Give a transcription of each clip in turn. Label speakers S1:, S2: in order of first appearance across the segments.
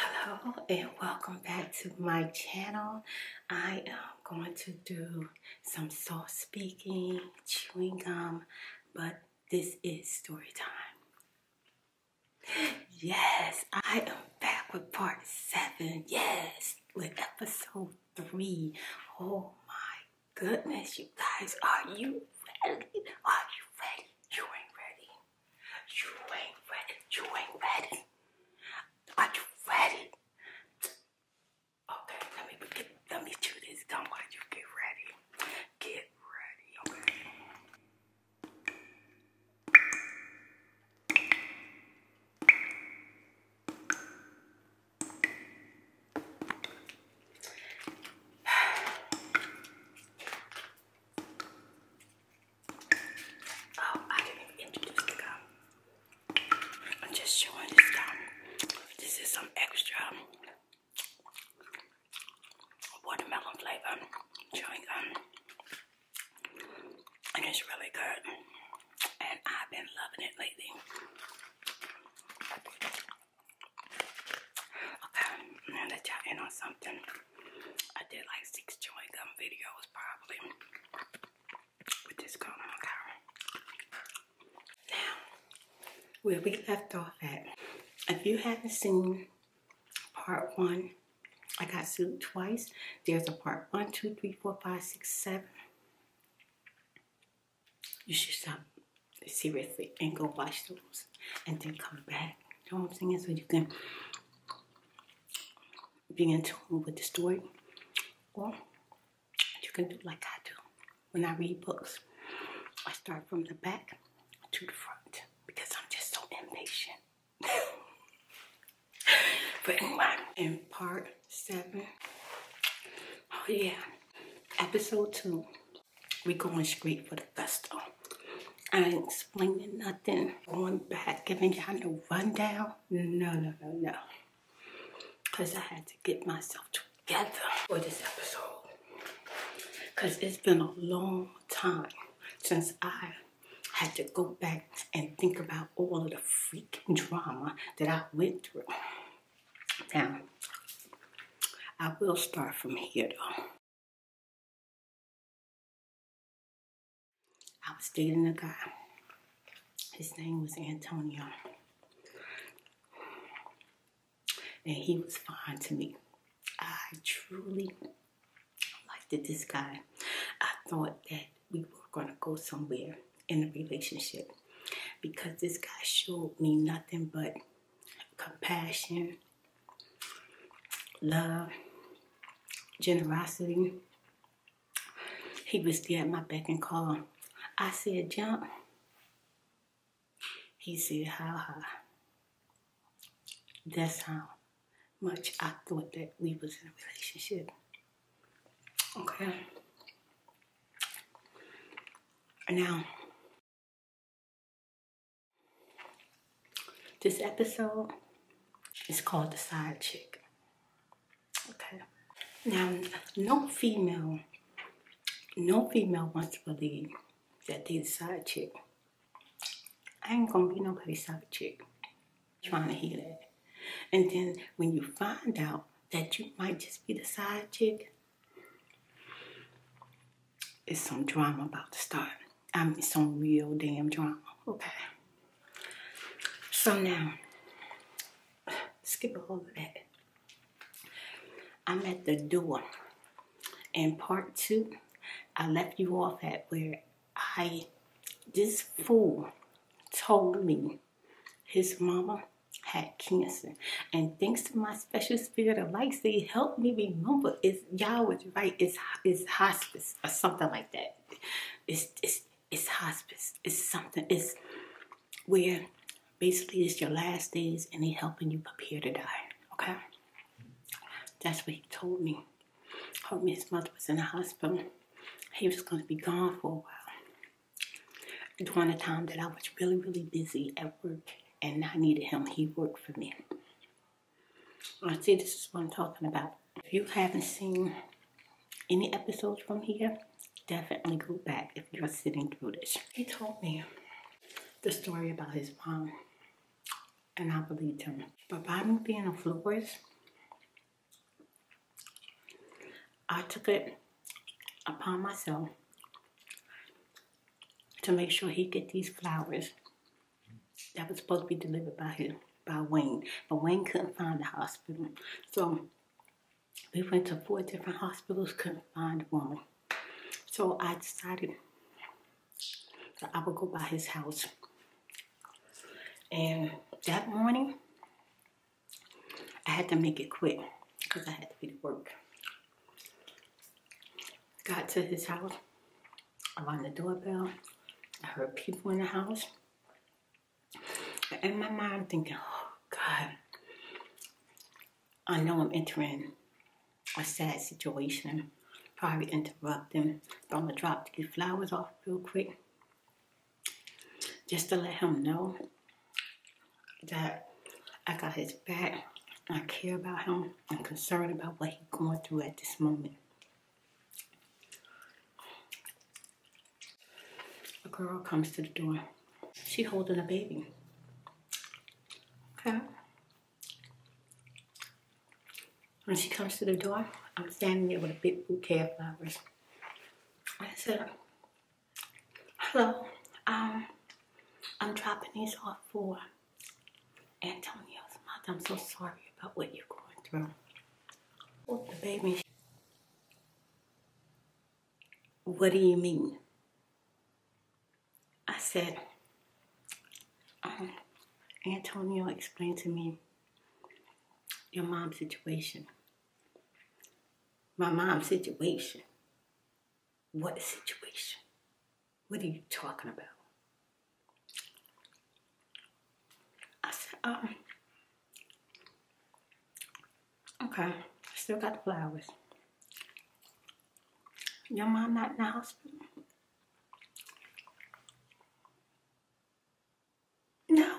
S1: Hello and welcome back to my channel. I am going to do some soft speaking, chewing gum, but this is story time. Yes, I am back with part seven. Yes, with episode three. Oh my goodness, you guys, are you ready? Are you ready? You ain't ready. You ain't ready. You ain't ready. Are you ready? Okay, let me get, let me chew this gum while you get ready. Get ready, Oh, I didn't introduce the gum. I'm just showing this gum. This is some extra um, watermelon flavor chewing gum. And it's really good. And I've been loving it lately. Okay, let y'all in on something. I did like six chewing gum videos probably with this gum on Now, where we left off at, if you haven't seen part one, I got sued twice. There's a part one, two, three, four, five, six, seven. You should stop seriously and go watch those and then come back. You know what I'm saying? So you can being to move with the story. Well, you can do like I do when I read books. I start from the back to the front because I'm just so impatient. but my in part seven, oh yeah, episode two, we're going straight for the gusto. I ain't explaining nothing. Going back, giving y'all no rundown. No, no, no, no. Because I had to get myself together for this episode. Because it's been a long time since I had to go back and think about all of the freaking drama that I went through.
S2: Now, I will start from here though. I was dating a guy. His name was Antonio.
S1: And he was fine to me. I truly liked this guy. I thought that we were going to go somewhere in a relationship because this guy showed me nothing but compassion love, generosity. He was there at my beck and call. I said, jump. He said, how high? That's how much I thought that we was in a relationship.
S2: Okay. Now, this episode is called The
S1: Side Chick. Okay. Now, no female, no female wants to believe that they the side chick. I ain't gonna be nobody's side chick. Trying to hear that. And then when you find out that you might just be the side chick, it's some drama about to start. I'm some real damn drunk. Okay. So now, skip a little bit. I'm at the door. In part two, I left you off at where I, this fool told me his mama had cancer. And thanks to my special spirit of light, see, help me remember it's y'all was right, it's, it's hospice or something like that it's it's it's hospice. It's something. It's where basically it's your last days and they helping you prepare to die. Okay, that's what he told me. Told me his mother was in the hospital. He was going to be gone for a while. During the time that I was really really busy at work and I needed him, he worked for me. I see this is what I'm talking about. If you haven't seen any episodes from here, definitely go back if you're sitting through this. He told me the story about his mom, and I believed him. But by being a florist, I took it upon myself to make sure he get these flowers that was supposed to be delivered by him, by Wayne. But Wayne couldn't find the hospital. So we went to four different hospitals, couldn't find one. So I decided I would go by his house. And that morning, I had to make it quick because I had to be to work. Got to his house, I rang the doorbell. I heard people in the house. And in my mind, thinking, oh, God, I know I'm entering a sad situation. Probably interrupting. But I'm going to drop these flowers off real quick just to let him know that I got his back. I care about him. I'm concerned about what he's going through at this moment. A girl comes to the door. She holding a baby. Okay. When she comes to the door, I'm standing there with a big bouquet of flowers. I said, hello, um, I'm dropping these off for Antonio's mother. I'm so sorry about what you're going through. Baby, what do you mean? I said, um, Antonio explained to me your mom's situation. My mom's situation. What situation? What are you talking about? Oh, okay, still got the flowers. Your mom not
S2: in the hospital? No.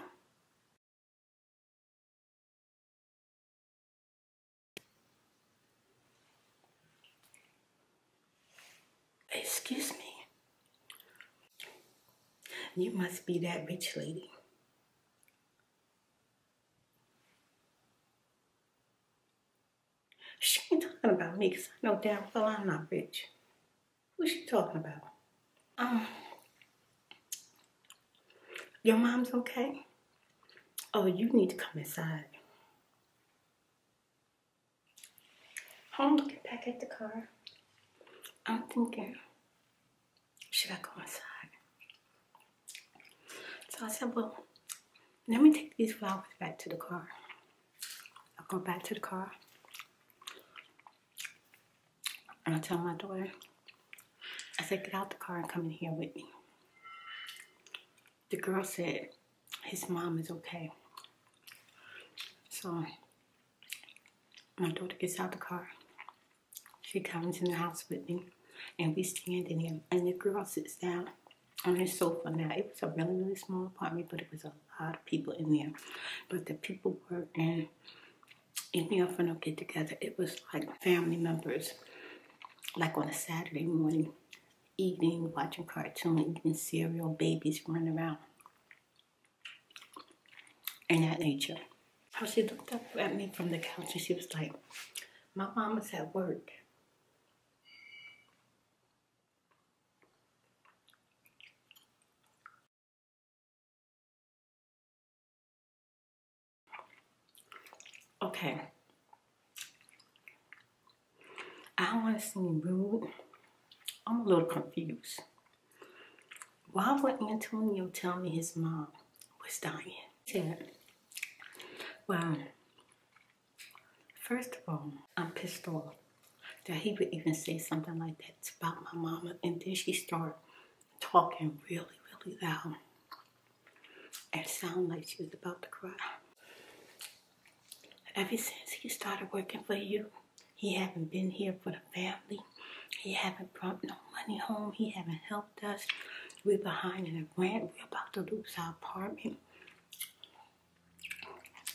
S1: Excuse me. You must be that bitch lady. She ain't talking about me because I know damn well I'm not rich. Who's she talking about? Um, your mom's okay? Oh, you need to come inside. I'm back at the car. I'm thinking, uh, should I go inside? So I said, well, let me take these flowers back to the car. I will go back to the car. And I tell my daughter, I said, get out the car and come in here with me. The girl said, his mom is okay. So my daughter gets out the car. She comes in the house with me, and we stand in there. And the girl sits down on the sofa. Now it was a really really small apartment, but it was a lot of people in there. But the people were in in if I do get together, it was like family members, like on a Saturday morning, eating, watching cartoons, eating cereal, babies running around and that nature. How she looked up at me from the couch and she was like, My mama's at work.
S2: Okay. I want to seem rude.
S1: I'm a little confused. Why would Antonio tell me his mom was dying? Said, well, first of all, I'm pissed off that he would even say something like that about my mama. And then she started talking really, really loud and sounded like she was about to cry. Ever since he started working for you, he haven't been here for the family. He haven't brought no money home. He haven't helped us. We're behind in a rent. We're about to lose our apartment.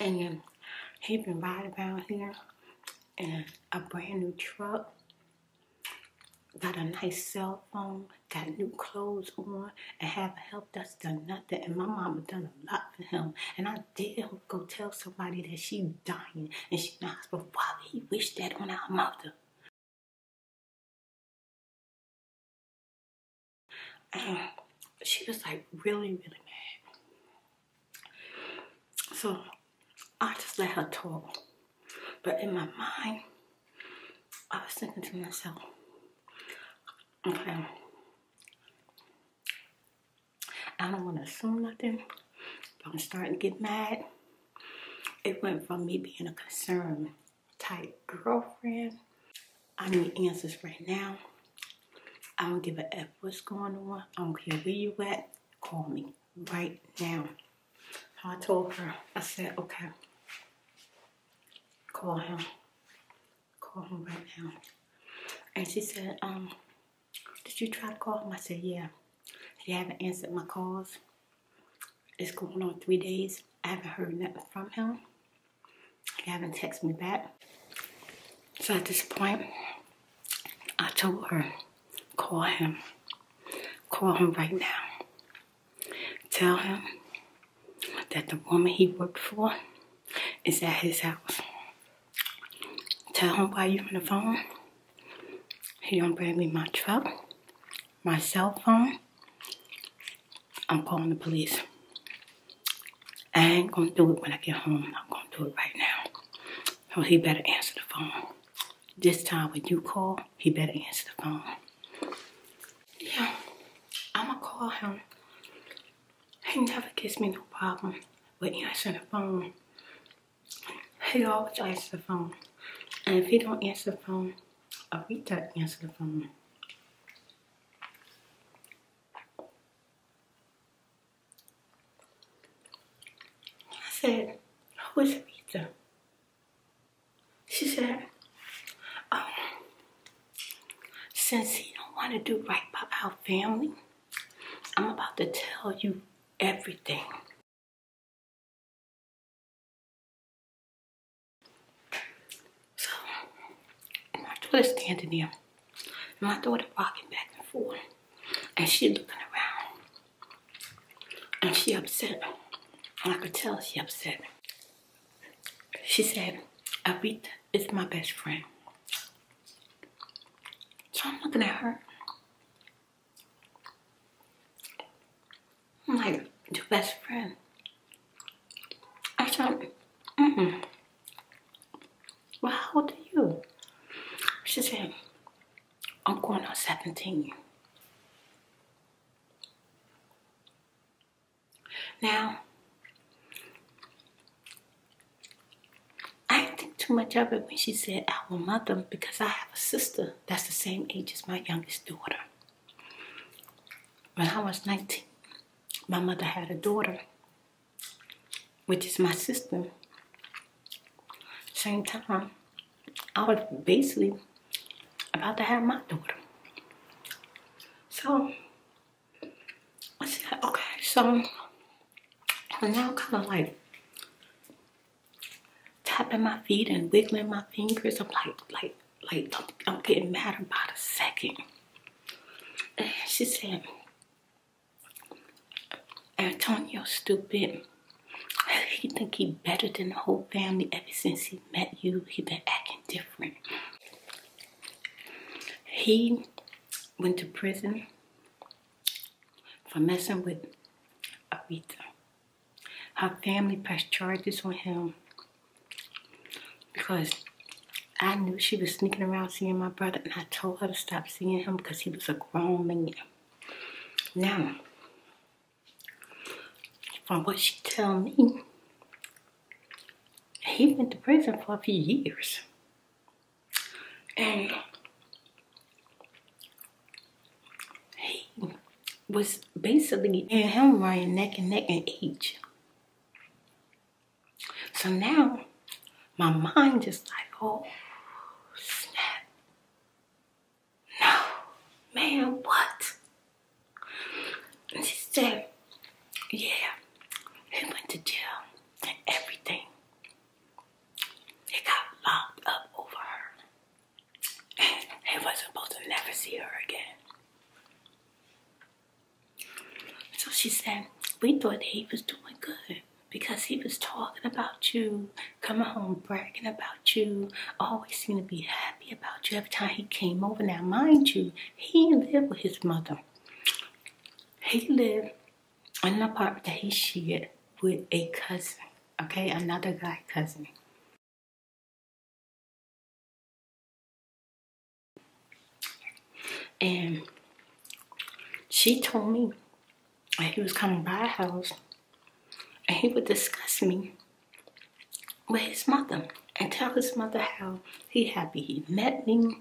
S1: And um, he been riding around here in a, a brand new truck. Got a nice cell phone. Got new clothes on. And haven't helped us done nothing. And my mama done a lot for him. And I did damn go tell somebody that she's dying and she's
S2: not hospital. Why he wish that on our mother? Um, she was like really, really mad.
S1: So I just let her talk. But in my mind, I was thinking to myself, okay, I don't want to assume nothing, but I'm starting to get mad. It went from me being a concerned type girlfriend. I need answers right now. I don't give a F what's going on. I don't care where you at. Call me right now. I told her, I said, okay, call him. Call him right now. And she said, um, did you try to call him? I said, Yeah. He haven't answered my calls. It's going on three days. I haven't heard nothing from him. He haven't texted me back. So at this point, I told her, call him. Call him right now. Tell him that the woman he worked for is at his house. Tell him why you on the phone. He don't bring me my truck, my cell phone. I'm calling the police. I ain't gonna do it when I get home. I'm gonna do it right now. So he better answer the phone. This time when you call, he better answer the phone. Yeah, I'ma call him. He never gives me no problem with answer the phone. Hey you always answer the phone. And if he don't answer the phone, Arita answer the phone. I said, who is Arita? She said, um, since he don't
S2: want to do right by our family, I'm about to tell you everything. So, and my daughter's standing there. And my daughter walking back and forth.
S1: And she looking around. And she upset. And I could tell she upset. She said, Aretha is my best friend. So I'm looking at her. I'm like, your best friend. I said, mm-mm. Well, how old are you? She said, I'm going on 17. Now, I didn't think too much of it when she said alma mother, because I have a sister that's the same age as my youngest daughter. When I was 19, my mother had a daughter, which is my sister. Same time, I was basically about to have my daughter. So I said, okay, so and now I'm kind of like tapping my feet and wiggling my fingers. I'm like, like, like, I'm, getting mad about a second. she said, Antonio, stupid. He think he better than the whole family ever since he met you. He been acting different. He went to prison for messing with Aretha. Her family passed charges on him because I knew she was sneaking around seeing my brother and I told her to stop seeing him because he was a grown man. Now, from what she tell me, he went to prison for a few years and he was basically and him running neck and neck in age. So now my mind just like, oh snap. No, man, what? And she said, yeah, he went to jail and everything. They got mopped up over her. And wasn't supposed to never see her again. So she said, we thought he was doing good because he was talking about you, coming home bragging about you, always seemed to be happy about you every time he came over. Now, mind you, he lived with his mother. He lived in the part that he shared
S2: with a cousin, okay, another guy cousin. And she told me that he was coming by our house
S1: and he would discuss me with his mother and tell his mother how he happy he met me.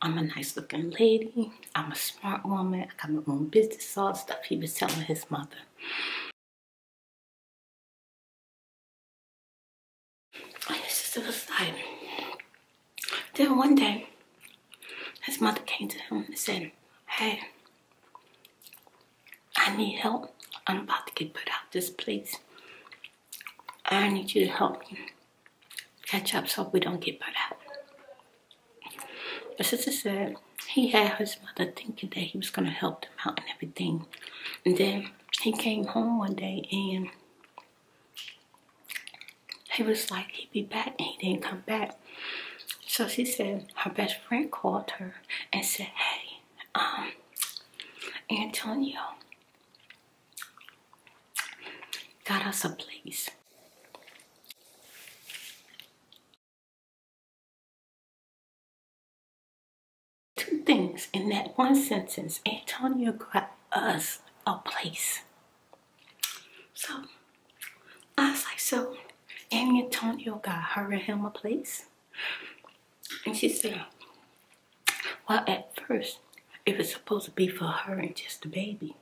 S1: I'm a nice looking lady. I'm a
S2: smart woman. I got my own business, all the stuff he was telling his mother. And his sister was then one day, his mother came to him and said,
S1: hey, I need help. I'm about to get put out this place. I need you to help me catch up so we don't get put out. My sister said he had his mother thinking that he was going to help them out and everything. And then he came home one day and he was like, he'd be back and he didn't come back. So she said her best friend called her and said, hey, um, Antonio
S2: got us a place. Two things in that one sentence. Antonio got us a place. So
S1: I was like, so Annie Antonio got her and him a place? And she said, well, at first, it was supposed to be for her and just the baby.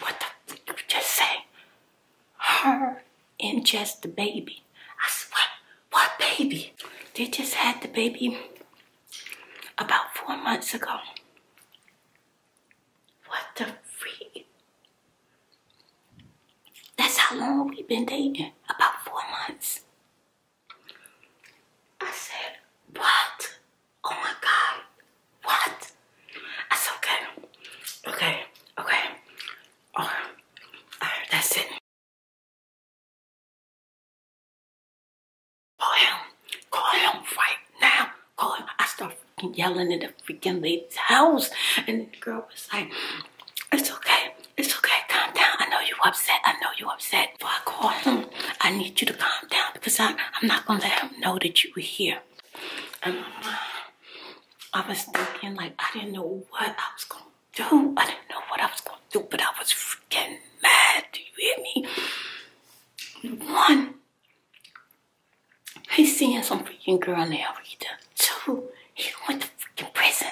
S1: What the just say? Her and just the baby. I said, what baby? They just had the baby about four months ago. What the freak? That's how long we've been dating. About four months. I said, what? Oh my god.
S2: What? That's okay. Okay. Okay. Oh, Alright, that's it. Call him. Call him right now. Call him. I start yelling in the
S1: freaking lady's house. And the girl was like, it's okay. It's okay. Calm down. I know you're upset. I know you're upset. Before I call him, I need you to calm down because I, I'm not going to let him know that you were here. Um, I was thinking, like, I didn't know what I was going to do. I didn't know what I was going to do, but I was freaking mad. Do you hear me? One, he's seeing some freaking girl now, Rita. Two, he went to freaking prison.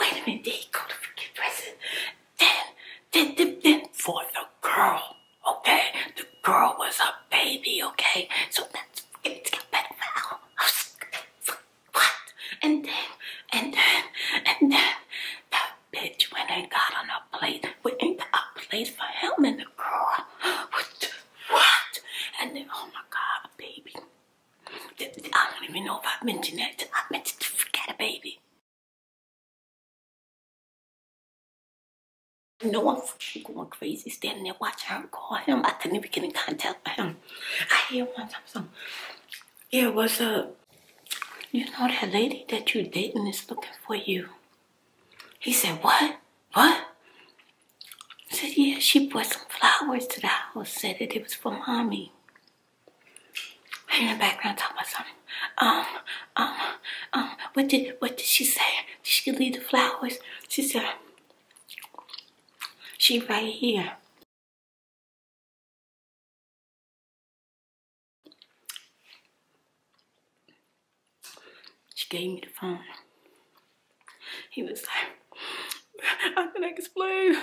S1: Wait a minute, did he go to freaking prison? Then, then, then, then for the girl okay? The girl was a baby, okay? So that's it's got better now. What? And then, and then, and then, that bitch went and got on a plate. We ain't got a plate for him and the girl. What? What? And then, oh my god, baby.
S2: I don't even know if I I meant to forget a baby. No, I'm fucking going crazy standing there watching her call him. I couldn't even get in contact with him. I hear one time some,
S1: yeah, what's up? Uh, you know that lady that you dating is looking for you. He said, what? What? I said, yeah, she brought some flowers to the house. Said that it was for mommy. In the background talking about something. Um, um, um, what did what did she say? Did she
S2: leave the flowers? She said, she right here. She gave me the phone.
S1: He was like, I
S2: can explain.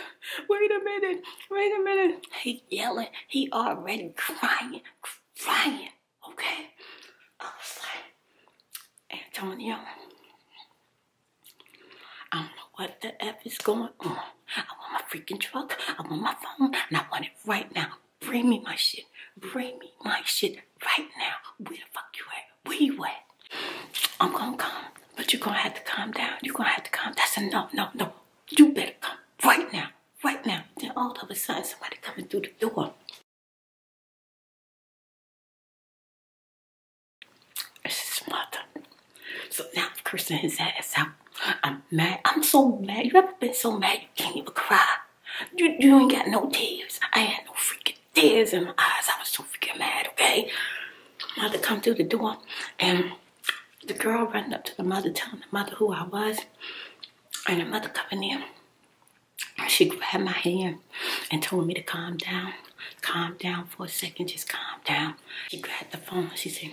S1: Wait a minute. Wait a minute. He yelling. He already crying, crying. Okay. I was like, Antonio, I don't know what the F is going on. I want my freaking truck. I want my phone. And I want it right now. Bring me my shit. Bring me my shit right now. Where the fuck you at? Where you at? I'm gonna come, but you're gonna have to calm down. You're gonna have
S2: to calm. That's enough, no, no. You better come right now, right now. Then all of a sudden, somebody coming through the door. It's his mother. So now I'm cursing his ass out.
S1: I'm mad. I'm so mad. You ever been so mad you can't even cry? You, you ain't got no tears. I had no freaking tears in my eyes. I was so freaking mad, okay? Mother come through the door and the girl running up to the mother telling the mother who I was and the mother coming in she grabbed my hand and told me to calm down. Calm down for a second, just calm down. She grabbed the phone she said,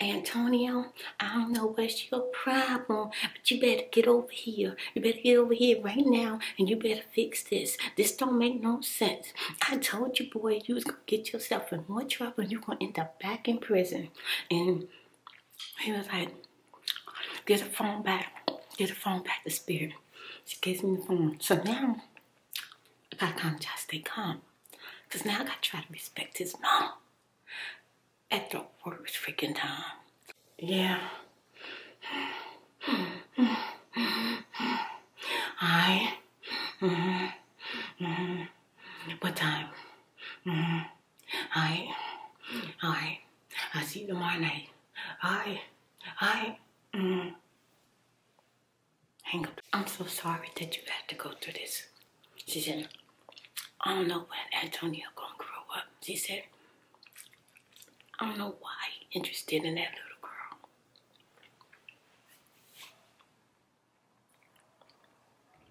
S1: Antonio, I don't know what's your problem, but you better get over here. You better get over here right now and you better fix this. This don't make no sense. I told you, boy, you was gonna get yourself in more trouble you're gonna end up back in prison. And he was like, get a phone back. Get a phone back to spirit. She gives me the phone. So now, I gotta kind of try to now I gotta try to respect his mom. At the worst freaking time. Yeah. I. Mm-hmm, mm-hmm, mm-hmm. What time? I see you はいはいあし止まらないはいはいうん Hang up. I'm so sorry that you had to go through this. She said, I don't know when Antonio gonna grow up. She said, I don't know why he interested in that little girl.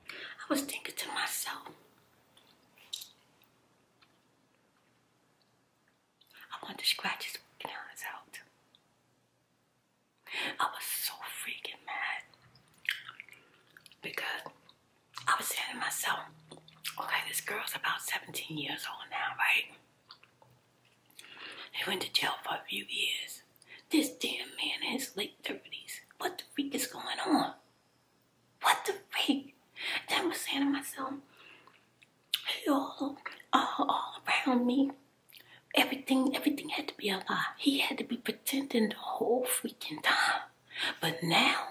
S1: I was thinking to myself, I want to scratch his eyes out. I was so freaking mad because I was saying to myself, okay, this girl's about 17 years old now, right? They went to jail for a few years. This damn man in his late 30s. What the freak is going on? What the freak? I was saying to myself, he all, all, all around me. Everything, everything had to be a lie. He had to be pretending the whole freaking time. But now,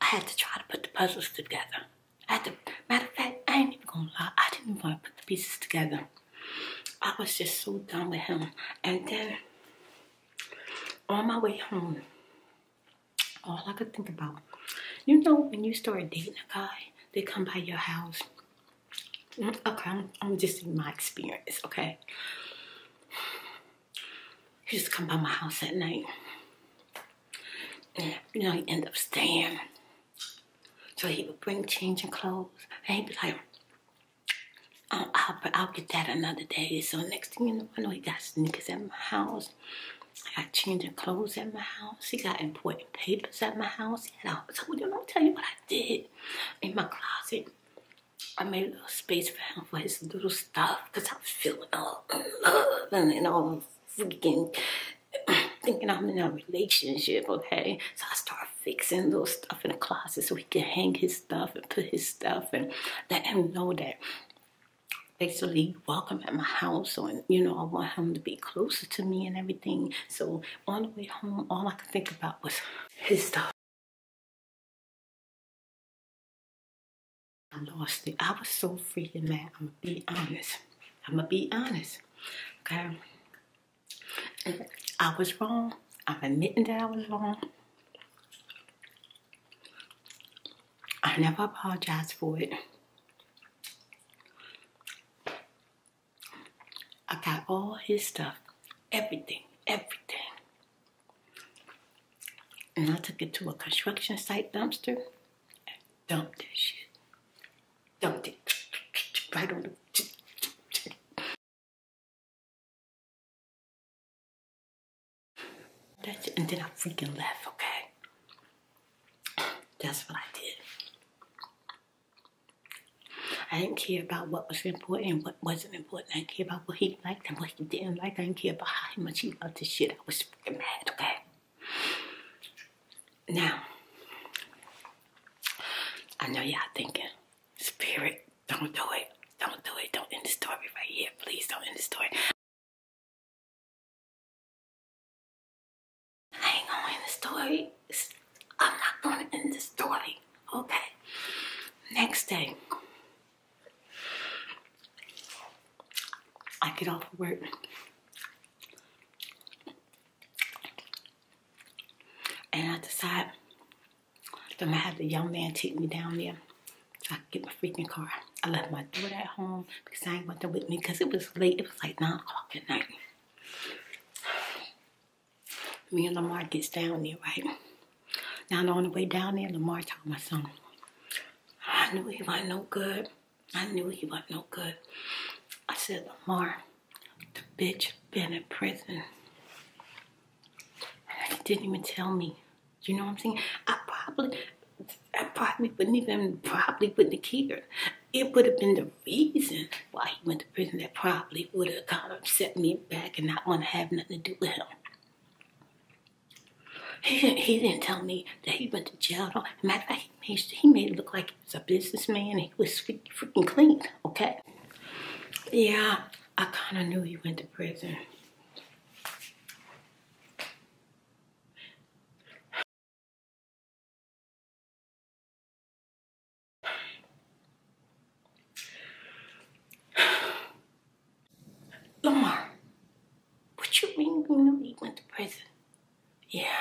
S1: I had to try to put the puzzles together. I had to, matter of fact, I ain't even gonna lie. I didn't want to put the pieces together. I was just so done with him. And then on my way home, all I could think about, you know, when you start dating a guy, they come by your house. Mm, okay, I'm, just in my experience, okay? He just come by my house at night. you know, he end up staying. So he would bring change changing clothes. And he'd be like, Oh, I'll, get that another day. So next thing you know, he got sneakers at my house. I got changing clothes at my house. He got important papers at my house. And I told him, you know tell you what I did in my closet. I made a little space for him for his little stuff because I was feeling all love and, and all freaking thinking I'm in a relationship, okay? So I start fixing those stuff in the closet so so hang his stuff and put his stuff and let him know that basically welcome at my house or you know I want him to be
S2: closer to me and everything so on the way home all I could think about was his stuff I lost it I was so freaking mad I'm gonna be honest I'm gonna be honest okay
S1: I was wrong I'm admitting that I was wrong I never apologized for it. I got all his stuff, everything, everything. And I took it to a
S2: construction site dumpster and dumped this shit. Dumped it right on the and then I freaking left, okay? That's what I did.
S1: I didn't care about what was important and what wasn't important. I didn't care about what he liked and what he didn't like. I didn't care about how much he loved this shit. I was freaking mad, okay? Now, I know y'all thinking, Spirit,
S2: don't do it. Don't do it. Don't end the story right here. Please don't end the story. I ain't gonna end the story. I'm not gonna end the story. Okay. Next day.
S1: I get off work. And I decide I'm gonna have the young man take me down there so I could get my freaking car. I left my door at home because I ain't want them with me because it was late. It was like 9 o'clock at night. Me and Lamar gets down there, right? Now on the way down there, Lamar told my son, I knew he wasn't no good. I knew he wasn't no good. I said, Lamar, the bitch been in prison he didn't even tell me. You know what I'm saying? I probably, I probably wouldn't even, probably wouldn't have cared. It would have been the reason why he went to prison that probably would have kind of set me back and not want to have nothing to do with him. He didn't, he didn't tell me that he went to jail all. Matter of fact, he made, he made it look like he was a businessman. He was freaking clean, okay? Yeah, I kind of knew he went to prison. Lamar, what you mean you knew went to prison? Yeah.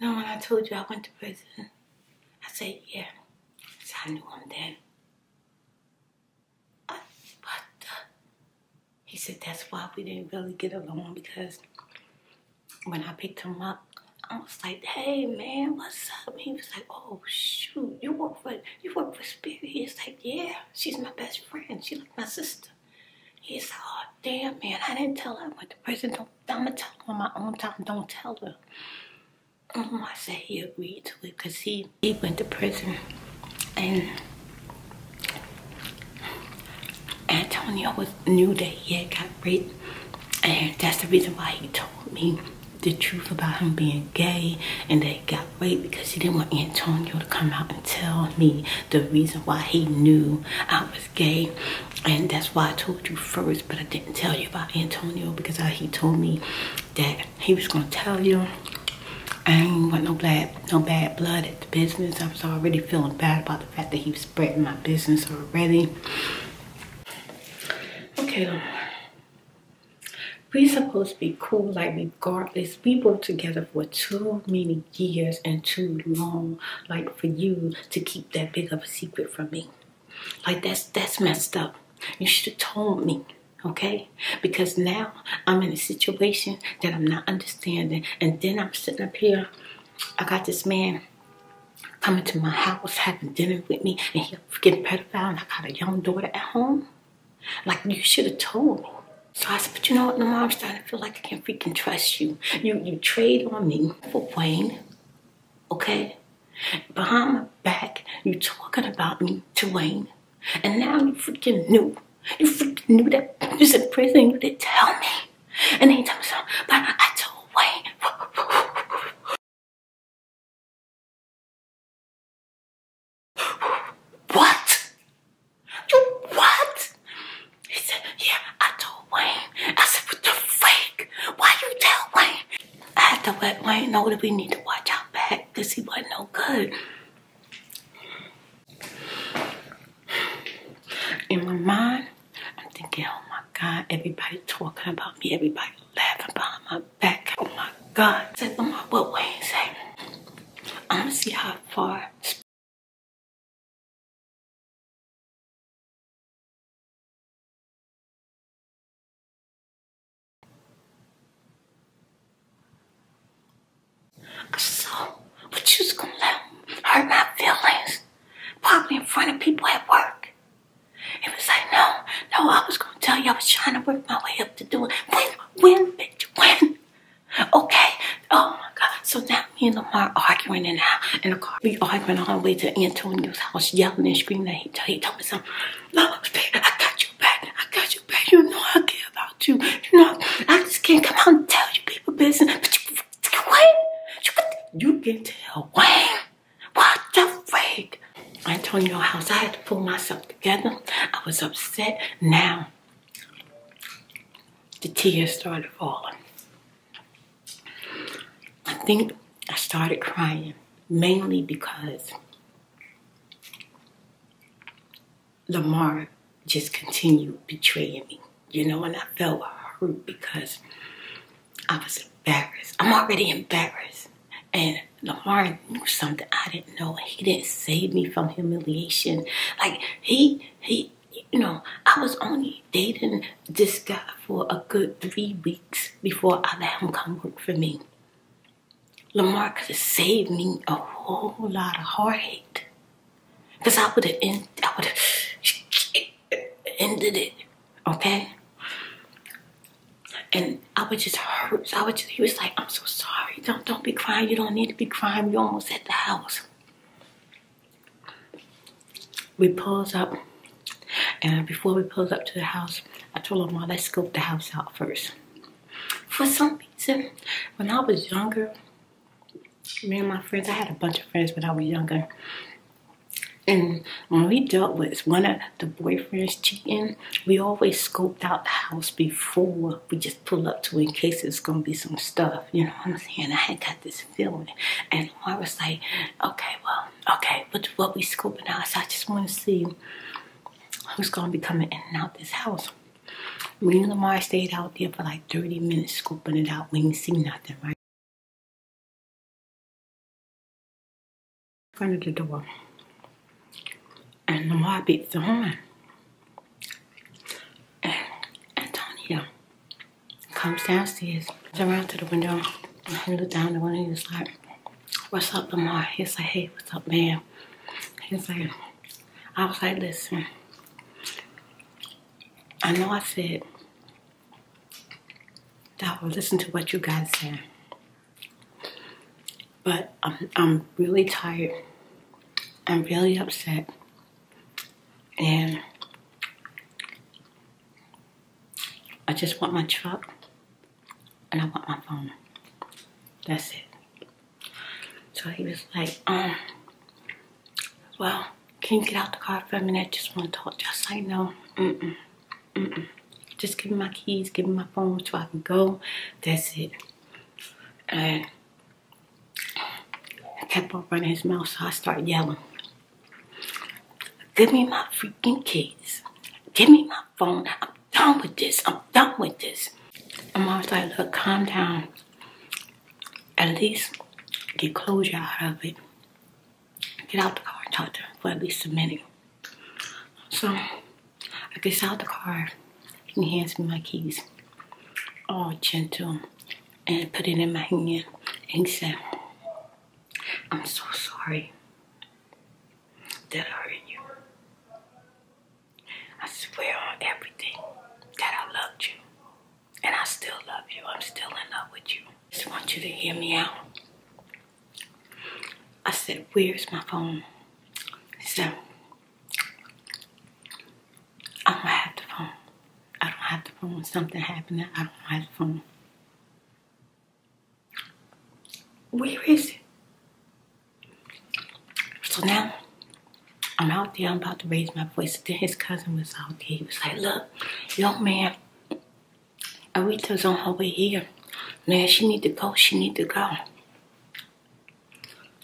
S1: No, when I told you I went to prison, I said, yeah. So I knew him then. He said, that's why we didn't really get along because when I picked him up, I was like, hey man, what's up? He was like, oh shoot, you work for you work for Spirit. He's like, yeah, she's my best friend. She's like my sister. He's like, oh damn man, I didn't tell her I went to prison. Don't I'ma tell her on my own time. Don't tell her. Um, I said he agreed to it because he he went to prison and Antonio was knew that he had got raped and that's the reason why he told me the truth about him being gay and that he got raped because he didn't want Antonio to come out and tell me the reason why he knew I was gay. And that's why I told you first, but I didn't tell you about Antonio because he told me that he was gonna tell you I ain't want no bad, no bad blood at the business. I was already feeling bad about the fact that he was spreading my business already. Okay, We supposed to be cool, like regardless. We worked together for too many years and too long, like for you to keep that big of a secret from me. Like that's that's messed up. You should have told me. Okay, because now I'm in a situation that I'm not understanding, and then I'm sitting up here. I got this man coming to my house, having dinner with me, and he's getting pedophile, and I got a young daughter at home. Like, you should have told me. So I said, but you know what, My I'm starting to feel like I can't freaking trust you. You you trade on me for Wayne, okay? Behind my back, you talking about me to Wayne. And now you freaking knew. You freaking knew that I was in prison. You didn't tell me.
S2: And they told me so, but I told Wayne. What? You what? He said, yeah, I told Wayne. I said, what the
S1: fake? Why you tell Wayne? I had to let Wayne know that we need to watch out back because he wasn't no good. In my mind, I'm thinking, oh my God, everybody talking about me, everybody
S2: laughing behind my back. Oh my God. Said, oh my, what Wayne say? I'm gonna see how far
S1: I So, but you's gonna let him hurt my feelings, probably in front of people at work. It was like, no, no, I was gonna tell you I was trying to work my way up to do it. When, when, bitch, win. Okay, oh my God. So now me and Lamar arguing in the, in the car. We arguing all the way to Antonio's house, yelling and screaming. He told, he told me something. I got you back. I got you back. You know I care about you. You know, I just can't come out and tell you people business. But you, Wayne, you, can tell why? What the freak? Antonio House, I had to pull myself together. I was upset. Now, the tears started falling. I think I started crying mainly because Lamar just continued betraying me, you know, and I felt hurt because I was embarrassed. I'm already embarrassed. And Lamar knew something I didn't know. He didn't save me from humiliation. Like he he you know, I was only dating this guy for a good three weeks before I let him come work for me. Lamar could have saved me a whole lot of heartache. Because I would have ended it, okay? And I would just hurt. I would just, he was like, I'm so sorry. Don't don't be crying. You don't need to be crying. you almost at the house. We pulls up. And before we pulled up to the house, I told Lamar, let's scope the house out first. For something." When I was younger, me and my friends, I had a bunch of friends when I was younger. And when we dealt with one of the boyfriends cheating, we always scoped out the house before we just pull up to in case it's gonna be some stuff. You know what I'm saying? I had got this feeling. And I was like, okay, well, okay, but what we scoping out, so I just wanna see
S2: who's gonna be coming in and out this house. Me and Lamar stayed out there for like 30 minutes scooping it out. We didn't see nothing, right? In front of the door. And Lamar beat the horn.
S1: And Antonio comes downstairs, comes around to the window, and he looked down the one of he was like, What's up, Lamar? He's like, Hey, what's up, man? He's like, I was like, listen, I know I said that I would listen to what you guys say, but I'm really tired. I'm really upset. And I just want my truck and I want my phone. That's it. So he was like, um, well, can you get out the car for a minute? I just want to talk. Just like, no, mm Just give me my keys, give me my phone so I can go. That's it. And I kept on running his mouth, so I start yelling. Give me my freaking keys. Give me my phone. i done with this. I'm done with this. And mom's like, look, calm down. At least get closure out of it. Get out the car and talk to her for at least a minute. So I get out the car. He hands me my keys. All gentle. And put it in my hand. And he said, I'm so sorry that I hurt you. I swear on everything that I loved you. And I still love you. I'm still in love with you. Just want you to hear me out. I said, where's my phone? So said, I don't have the phone. I don't have the phone. Something happened. I don't have the phone. Where is it? So now I'm out there, I'm about to raise my voice. Then his cousin was out there. He was like, look, young man, Arita's on her way here. Man, she need to go, she need to go.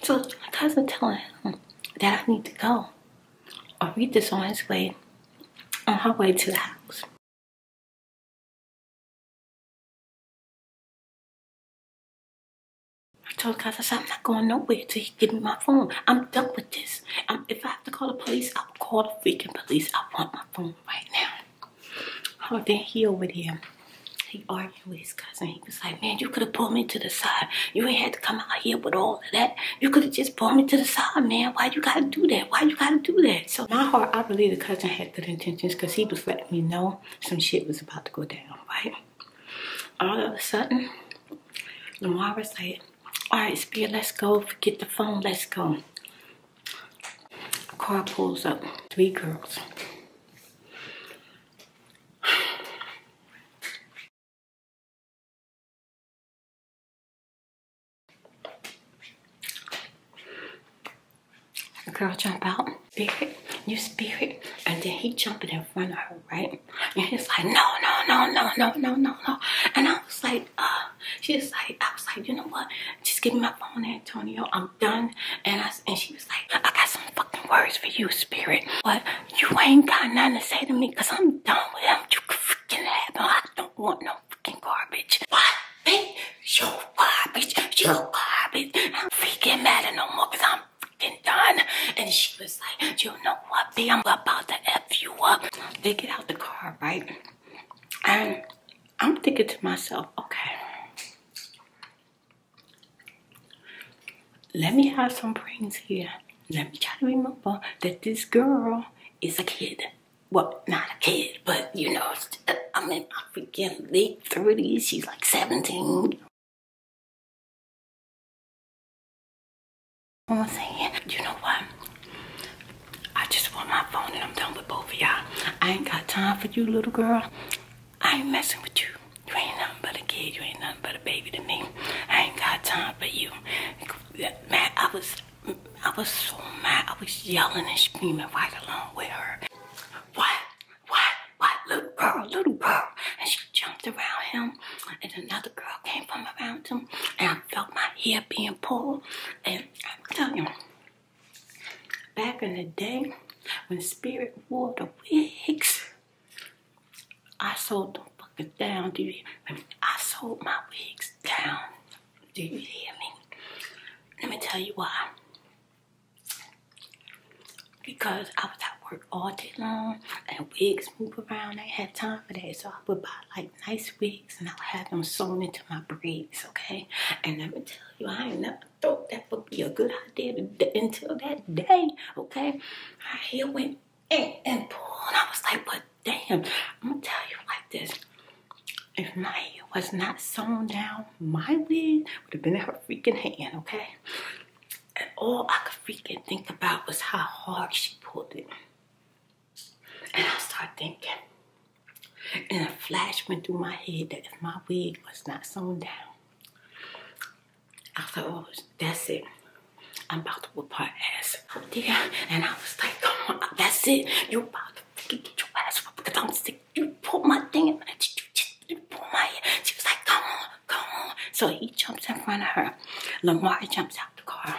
S1: So my
S2: cousin telling him that I need to go. Arita's on his way, on her way to the house. I told Kaza, I'm not going nowhere till you give me my phone. I'm done with this. if I have to call the police, I'll call the freaking police. I want
S1: my phone right now. Oh, then he over there, he argued with his cousin. He was like, man, you could have pulled me to the side. You ain't had to come out here with all of that. You could have just pulled me to the side, man. Why you gotta do that? Why you gotta do that? So my heart, I believe the cousin had good intentions because he was letting me know some shit was about to go down, right? All of a sudden, Lamara said, all right, Spear, let's go. Forget the phone, let's go. Car pulls up, three girls.
S2: The girl jump out spirit, you spirit. And then he
S1: jumping in front of her, right? And he's like, no, no, no, no, no, no, no, no. And I was like, uh, she's like, I was like, you know what? Just give me my phone, Antonio. I'm done. And I and she was like, I got some fucking words for you, spirit. What? you ain't got nothing to say to me because I'm done with him. You can have happen. I don't want no fucking garbage. Why? Bitch, you garbage, you garbage. I'm freaking mad at no more because I'm done. And she was like, you know what, B, I'm about to F you up. They get out the car, right? And I'm thinking to myself, okay, let me have some brains here. Let me try to remember that this girl is a kid.
S2: Well, not a kid, but you know, I'm in my freaking late 30s. She's like 17, I'm saying, you know what? I just want my phone and I'm done with both of y'all.
S1: I ain't got time for you, little girl. I ain't messing with you. You ain't nothing but a kid. You ain't nothing but a baby to me. I ain't got time for you. Man, I was, I was so mad. I was yelling and screaming right along with her. What? what, what, little girl, little girl. And she jumped around him, and another girl came from around him, and I felt my hair being pulled. And I'm telling you, back in the day, when Spirit wore the wigs, I sold them fucking down. Do you hear me? I sold my wigs down. Do you hear me? Let me tell you why because I was at work all day long and wigs move around. I had time for that. So I would buy like nice wigs and I would have them sewn into my braids, okay? And let me tell you, I never thought that would be a good idea until that day, okay? I here went and, and I was like, "What, damn, I'm gonna tell you like this. If my hair was not sewn down, my wig would have been in her freaking hand, okay? And all I could freaking think about was how hard she pulled it. And I started thinking, and a flash went through my head that if my wig was not sewn down, I thought, oh, that's it. I'm about to whip my ass out there. And I was like, come on, that's it. You're about to freaking get your ass whipped because I'm sick. You pulled my thing and you just you pulled my hair. She was like, come on go on. So he jumps in front of her. Lamar jumps out the car.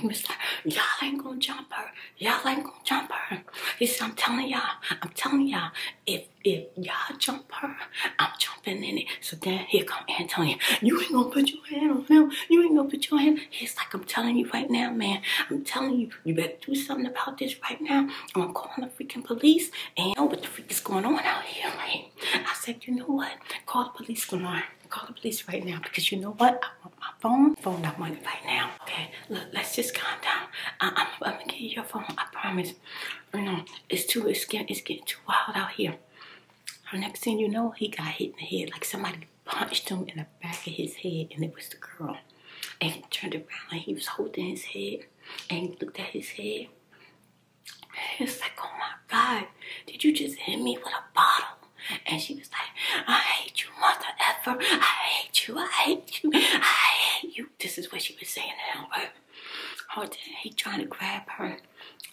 S1: he was like, y'all ain't gonna jump her. Y'all ain't gonna jump her. He said, I'm telling y'all, I'm telling y'all, if if y'all jump her, I'm jumping in it. So then here come Antonio. You ain't gonna put your hand on him. You ain't gonna put your hand. He's like, I'm telling you right now, man. I'm telling you, you better do something about this right now. I'm calling the freaking police and know what the freak is going on out here, right? I said, you know what? Call the police, Glenard. Call the police right now because you know what? I want my phone. Phone, I want it right now. Okay, look, let's just calm down. I, am gonna get you your phone. I promise. You know, it's too, it's getting, it's getting too wild out here. The next thing you know, he got hit in the head like somebody punched him in the back of his head, and it was the girl. And he turned around and he was holding his head, and he looked at his head, it's like, oh my God, did you just hit me with a bottle? And she was like, I hate you, mother ever. I hate you. I hate you. I hate you. This is what she was saying to him, oh, he trying to grab her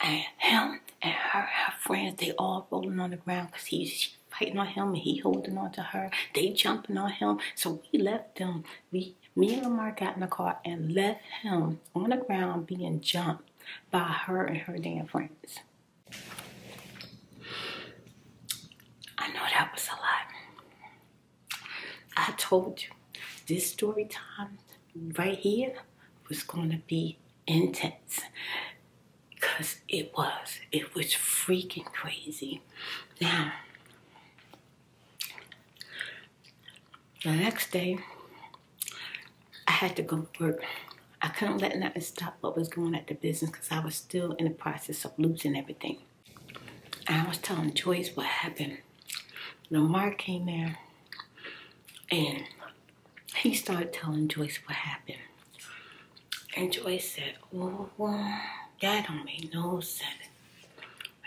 S1: and him and her friends, they all rolling on the ground because he's fighting on him and he holding on to her. They jumping on him. So we left them. We me and Lamar got in the car and left him on the ground being jumped by her and her damn friends. I know that was a lot. I told you this story time right here was going to be intense because it was. It was freaking crazy. Now, the next day, I had to go to work. I couldn't let nothing stop what was going at the business because I was still in the process of losing everything. I was telling Joyce what happened. Lamar came there, and he started telling Joyce what happened. And Joyce said, oh, that don't make no sense.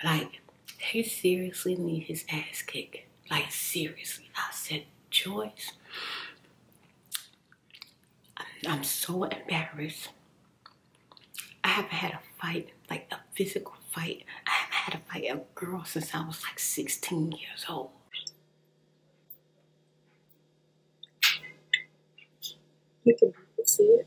S1: Like, he seriously need his ass kicked. Like seriously. I said, "Choice." I'm so embarrassed. I haven't had a fight, like a physical fight. I haven't had a fight with a girl since I was like 16 years old.
S2: You can see it.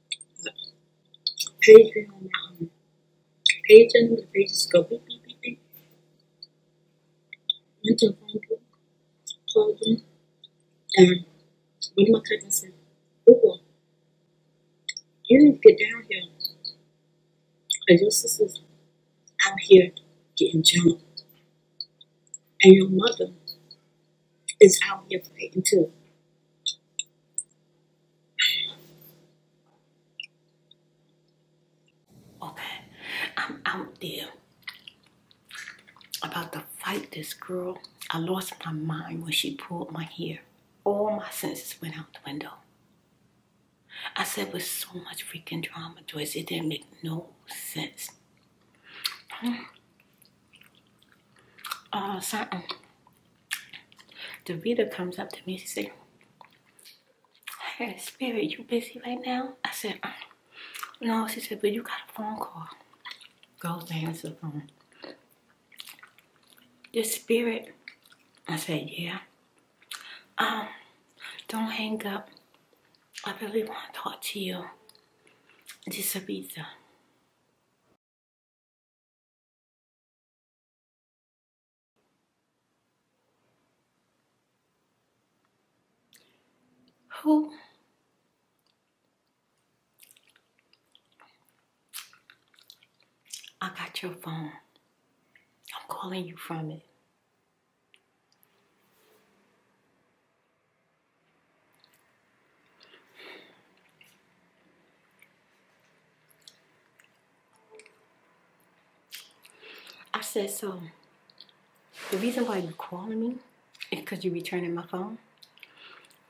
S2: page on my um, page and the pages go beep beep beep beep. Went to a phone book, told them, and one of my cousins said, Google, you need to get down here. Because your sister's out here getting jumped. And your mother is out here fighting too.
S1: Okay, I'm out there about to fight this girl. I lost my mind when she pulled my hair. All my senses went out the window. I said, with so much freaking drama, Joyce, it didn't make no sense. Hmm. Uh, something Davita comes up to me. She said, I got a spirit. You busy right now? I said, uh, no. She said, but you got a phone call. Go answer the phone. Your spirit. I said, yeah. Um, don't hang up. I really want to talk to you.
S2: This is Ibiza. Who
S1: I got your phone. I'm calling you from it. I said, so the reason why you are calling me is because you're returning my phone.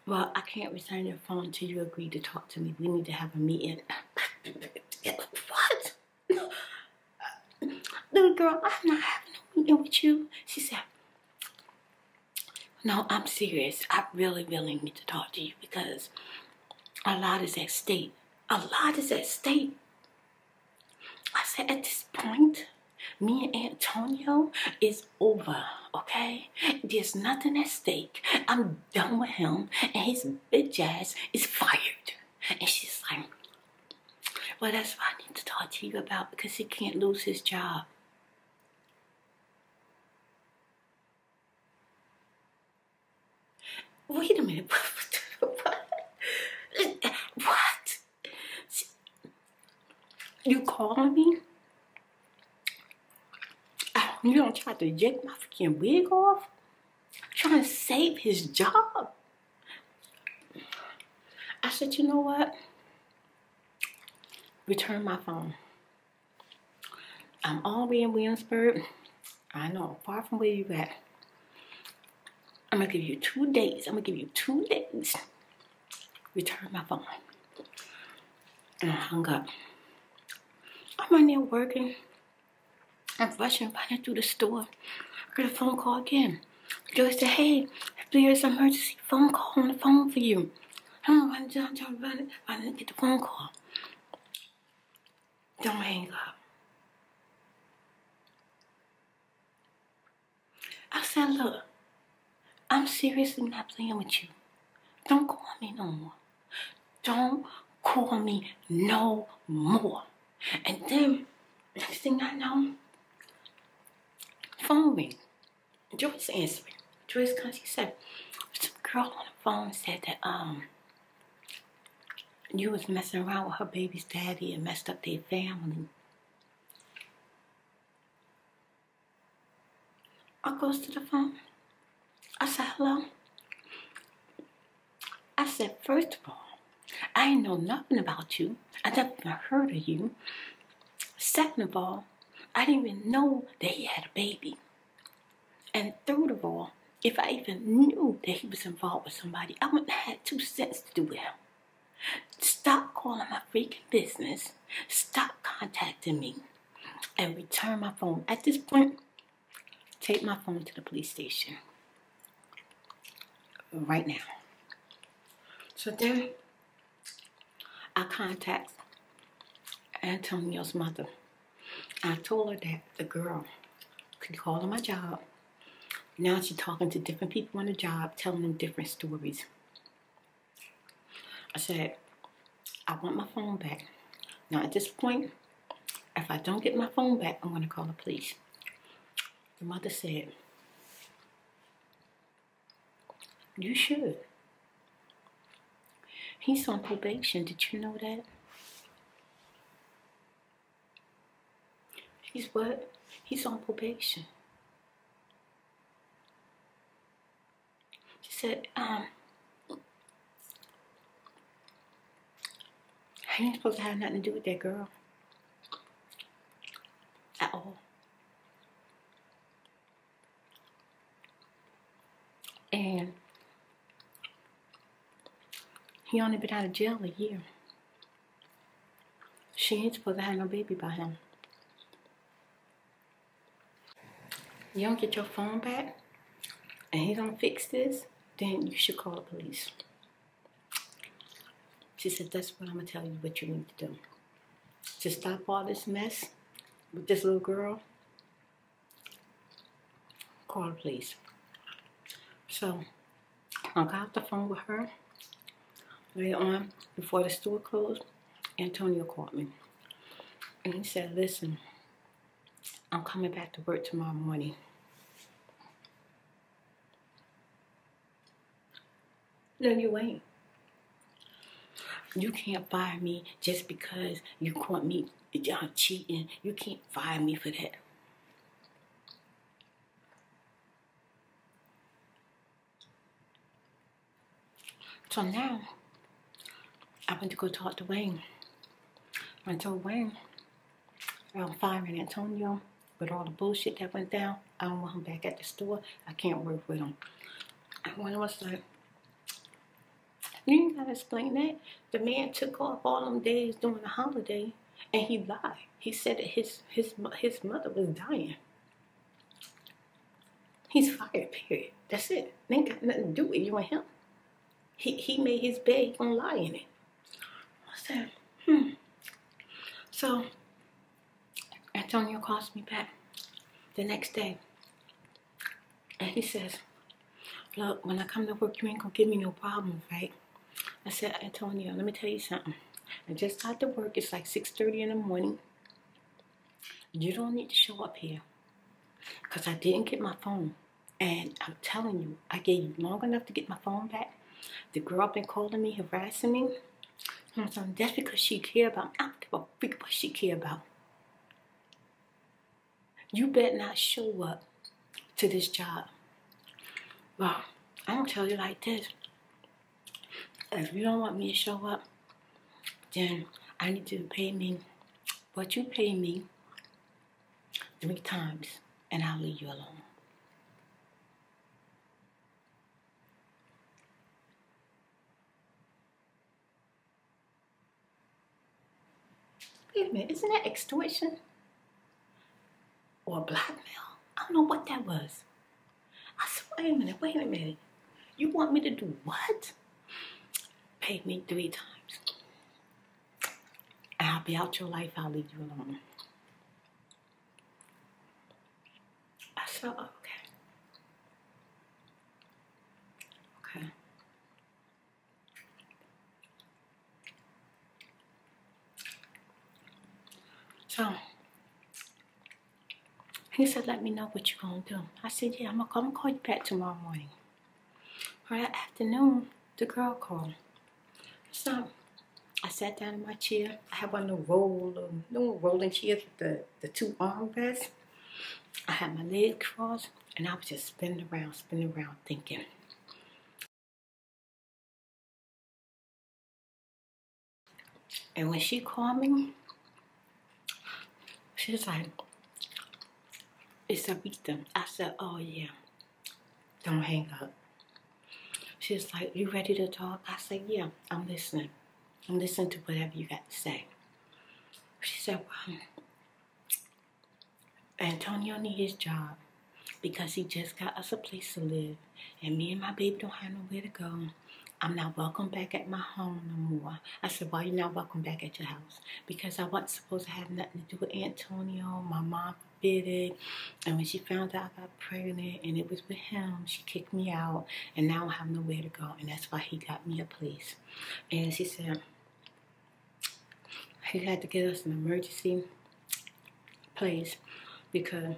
S1: Well, I can't return your phone until you agree to talk to me. We need to have a meeting. what? Little girl, I'm not having a meeting with you. She said, no, I'm serious. I really, really need to talk to you because a lot is at stake. A lot is at stake. I said, at this point, me and Antonio is over, okay? There's nothing at stake. I'm done with him, and his bitch ass is fired. And she's like, well, that's what I need to talk to you about because he can't lose his job.
S2: Wait a minute. what? What?
S1: You calling me? You don't try to yank my freaking wig off? Trying to save his job. I said, you know what? Return my phone. I'm all the way in Williamsburg. I know, far from where you at. I'm gonna give you two days. I'm gonna give you two days. Return my phone. And I hung up. I'm in there working. I'm rushing, running through the store. I got a phone call again. Joyce said, hey, there's an emergency phone call on the phone for you. I'm running, running, running, running, get the phone call. Don't hang up. I said, look, I'm seriously not playing with you. Don't call me no more. Don't call me no more. And then, next thing I know, phone ring. Joyce answering. Joyce comes, She said, some girl on the phone said that um you was messing around with her baby's daddy and messed up their family. I goes to the phone. I said, hello. I said, first of all, I ain't know nothing about you. I never heard of you. Second of all, I didn't even know that you had a baby. And third of all, if I even knew that he was involved with somebody, I wouldn't have two cents to do with him. Stop calling my freaking business. Stop contacting me. And return my phone. At this point, take my phone to the police station. Right now. So then, I contact Antonio's mother. I told her that the girl could call on my job. Now she's talking to different people on the job, telling them different stories. I said, I want my phone back. Now at this point, if I don't get my phone back, I'm going to call the police. The mother said, You should. He's on probation. Did you know that? He's what? He's on probation. She said, um, I ain't supposed to have nothing to do with that girl. At all. And he only been out of jail a year. She needs supposed to have no baby by him. You don't get your phone back, and he don't fix this, then you should call the police. She said, that's what I'm gonna tell you what you need to do. To stop all this mess with this little girl, Call please. So I got the phone with her. Later on, before the store closed, Antonio called me. And he said, listen, I'm coming back to work tomorrow morning. No, you ain't. You can't fire me just because you caught me y'all cheating. You can't fire me for that. So now, I went to go talk to Wayne. I told Wayne, I'm firing Antonio with all the bullshit that went down. I don't want him back at the store. I can't work with him. And Wayne was like, you gotta explain that. The man took off all them days during the holiday, and he lied. He said that his his his mother was dying. He's fired. Period. That's it. ain't got nothing to do with you or him. He he made his bed. He gonna lie in it. I said, hmm. So Antonio calls me back the next day. And he says, Look, when I come to work, you ain't gonna give me no problems, right? I said, Antonio, let me tell you something. I just got to work. It's like 6.30 in the morning. You don't need to show up here. Because I didn't get my phone. And I'm telling you, I gave you long enough to get my phone back. The girl been calling me, harassing me. And I'm saying, that's because she care about me. I don't what she care about. You bet not show up to this job. Well, I'm gonna tell you like this. If you don't want me to show up, then I need you to pay me what you pay me three times and I'll leave you alone. Wait a minute, isn't that extortion? Or blackmail? I don't know what that was. I said, wait a minute, wait a minute. You want me to do what? Pay me three times. I'll be out your life, I'll leave you alone. I said, okay.
S2: Okay. So
S1: he said, let me know what you're going to do. I said, yeah, I'm going to come call you back tomorrow morning. that afternoon, the girl called. So I sat down in my chair. I had one of the roll, little rolling chairs with the, the two armrests.
S2: I had my legs crossed and I was just spinning around, spinning around thinking. And when she called me, she was like,
S1: it's a Aretha. I said, oh yeah, don't hang up. She was like, you ready to talk? I said, yeah, I'm listening. I'm listening to whatever you got to say. She said, Antonio need his job because he just got us a place to live, and me and my baby don't have nowhere to go. I'm not welcome back at my home no more. I said, Why you not welcome back at your house? Because I wasn't supposed to have nothing to do with Antonio. My mom forbid it. And when she found out I got pregnant and it was with him, she kicked me out. And now I have nowhere to go. And that's why he got me a place. And she said, he had to get us an emergency place because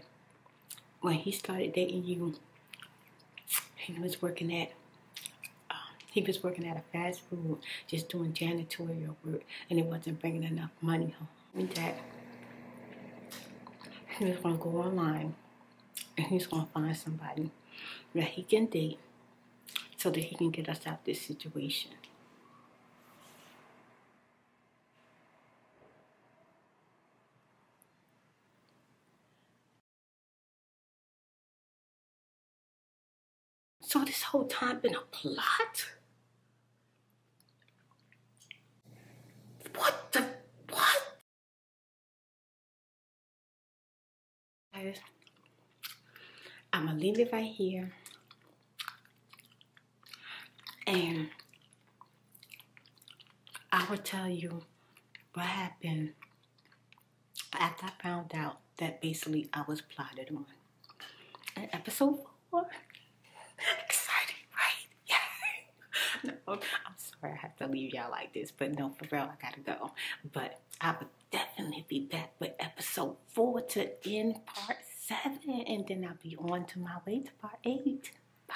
S1: when he started dating you, he was working at um, he was working at a fast food, just doing janitorial work, and it wasn't bringing enough money home. That he gonna go online and he's gonna find somebody that he can date so that he can get us out of this situation.
S2: So this whole time been a plot? What the, what? i'm gonna leave it right here
S1: and i will tell you what happened after i found out that basically i was plotted on episode four exciting right yeah no i'm sorry i have to leave y'all like this but no for real i gotta go but i would definitely be back with episode four to end part
S2: seven, and then I'll be on to my way to part eight. Bye.